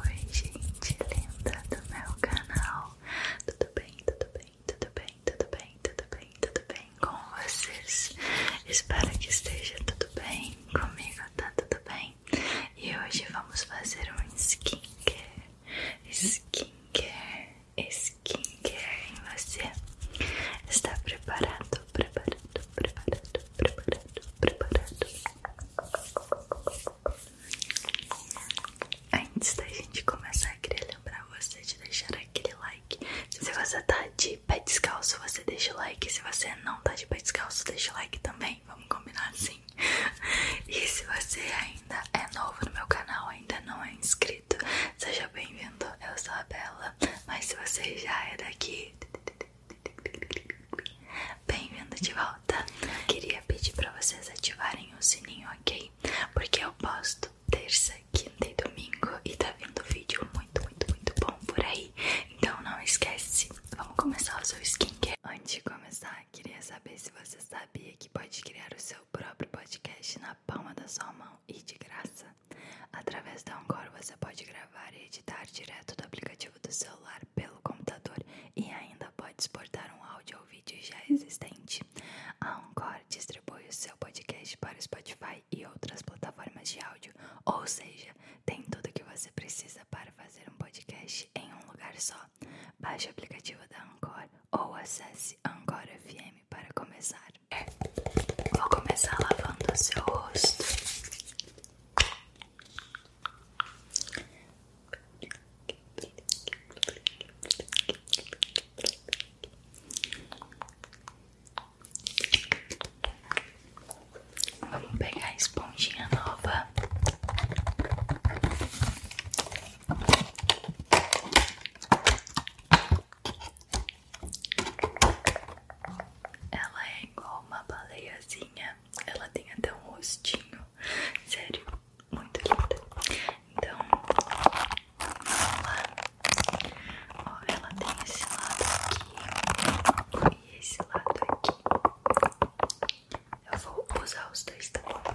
Oi gente linda do meu canal, tudo bem, tudo bem, tudo bem, tudo bem, tudo bem, tudo bem com vocês? Espero que esteja tudo bem, comigo tá tudo bem? E hoje vamos fazer um skincare, skincare, skincare em você Está preparado, preparado, preparado, preparado, preparado? Antes da gente começar, queria lembrar você de deixar aquele like. Se você tá de pé descalço, você deixa o like. Se você não tá de pé descalço, deixa o like também. Vamos combinar assim. E se você ainda é novo no meu canal, ainda não é inscrito, seja bem-vindo. Eu sou a Bela. Mas se você já é daqui, Bem-vindo de volta. Queria pedir para vocês ativarem o sininho, ok? Porque eu posto terça, quinta e domingo e tá vindo vídeo muito, muito, muito bom por aí. Então não esquece. Vamos começar o seu skincare. Antes de começar, queria saber se você sabia que pode criar o seu próprio podcast na palma da sua mão e de graça. Através da Angora você pode gravar e editar direto do aplicativo do celular pelo computador e ainda pode exportar um áudio ou vídeo já existente. A Anchor distribui o seu podcast para o Spotify e outras plataformas de áudio, ou seja, tem tudo o que você precisa para fazer um podcast em um lugar só. Baixe o aplicativo da Anchor ou acesse Anchor FM para começar. Vou começar lavando o seu rosto. Vamos pegar a esponjinha nova. Ela é igual uma baleiazinha, ela tem até um rostinho, sério, muito linda. Então, vamos lá. Ó, ela tem esse lado aqui e esse lado aqui. Eu vou usar os dois, também bom?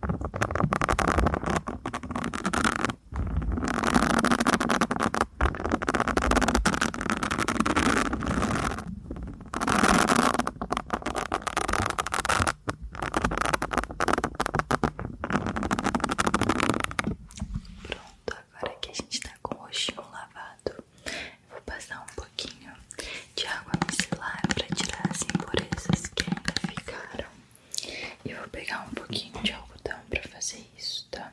Pronto, agora que a gente tá com o roxinho lavado, eu vou passar um pouquinho de água micelar para tirar as impurezas que ainda ficaram. Eu vou pegar um pouquinho de algodão para fazer isso, tá?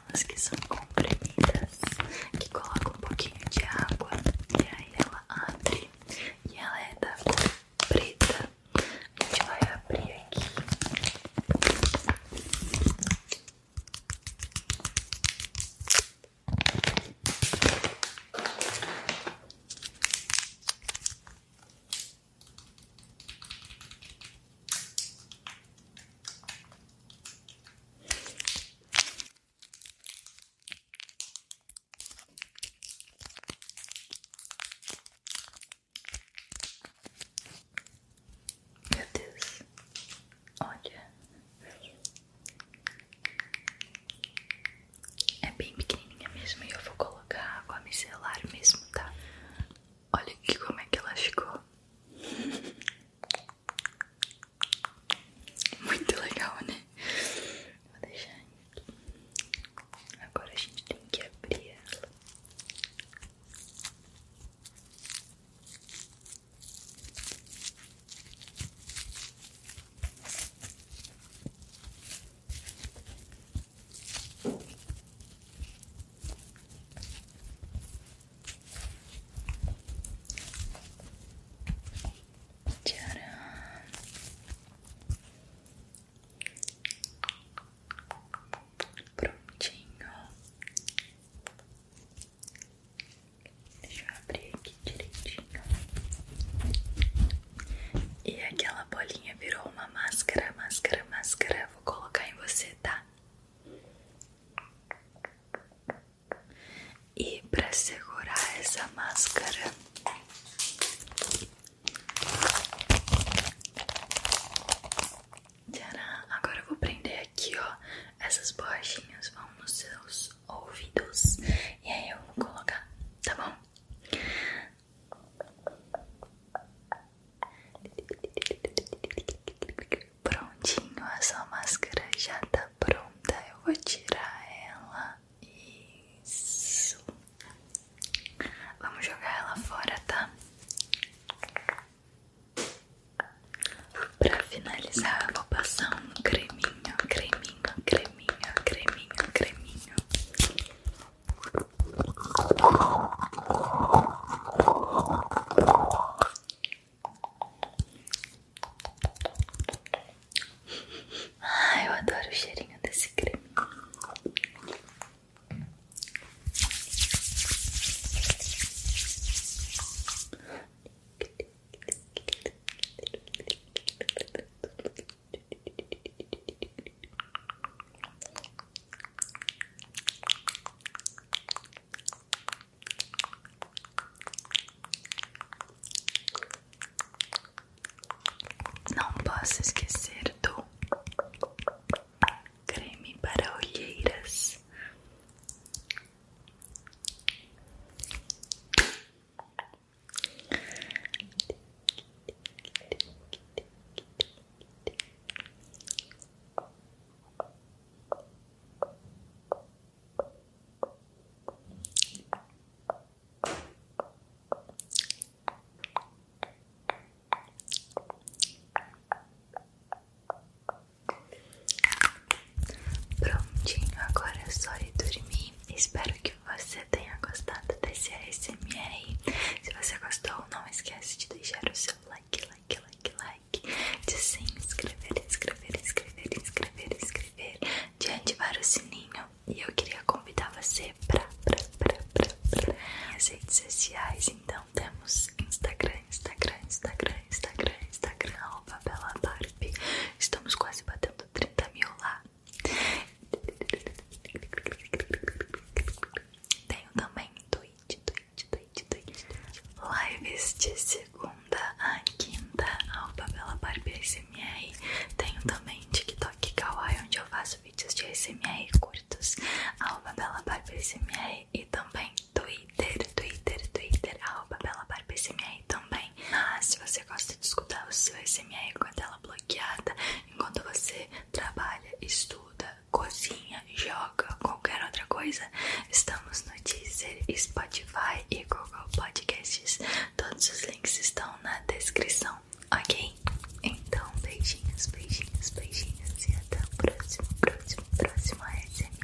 aquelas que são comprimidas, que coloca um pouquinho de água e aí ela abre e ela é da cor preta. A gente vai abrir aqui. Meu Deus, olha, é? é bem pequenininha mesmo. E eu vou colocar água micelar mesmo, tá? Olha aqui como é que ela ficou. Muito legal, né? Vou deixar aqui. Agora a gente tem que abrir ela. Tcharam. Prontinho. Deixa eu abrir aqui direitinho. E aquela bolinha virou uma máscara, máscara, máscara. Vou colocar em você, tá? E para segurar essa máscara, Tcharam. agora eu vou prender aqui, ó. Essas borrachinhas vão nos seus ouvidos e aí eu vou colocar, tá bom? Prontinho, a sua máscara já tá pronta. Eu vou tirar ela. Isso. Vamos jogar ela fora, tá? Pra finalizar, vou passar um creminho, creminho, creminho, creminho, creminho. Ai, eu adoro o cheirinho desse creme. Não posso esquecer do creme para olheiras. Prontinho, agora é só ir dormir. Espero que você tenha gostado gostado desse Se você gostou, não esquece de deixar o seu like, like, like, like. De se inscrever, inscrever, inscrever, inscrever, inscrever. De ativar o sininho. E eu queria convidar você para as redes sociais. Então temos Instagram, Instagram, Instagram, Instagram, Instagram, arroba Bela Barbie. Estamos quase batendo 30 mil lá. Tenho também tweet, tweet, tweet, tweet, lives de segunda a quinta, ao Bela Barbie SMR. Tenho também TikTok Kawaii, onde eu faço vídeos de SMR curtos, ao Bela Barbie SMR e também Twitter, Twitter, Twitter, ao Bela Barbie SMR também. Ah, se você gosta de escutar o seu SMR com a tela bloqueada, enquanto você trabalha, estuda, cozinha, joga, qualquer outra coisa. Estamos no Deezer, Spotify e Google Podcasts. Todos os links estão na descrição, ok? Então, beijinhos, beijinhos, beijinhos e até o próximo, próximo, próximo ASMR.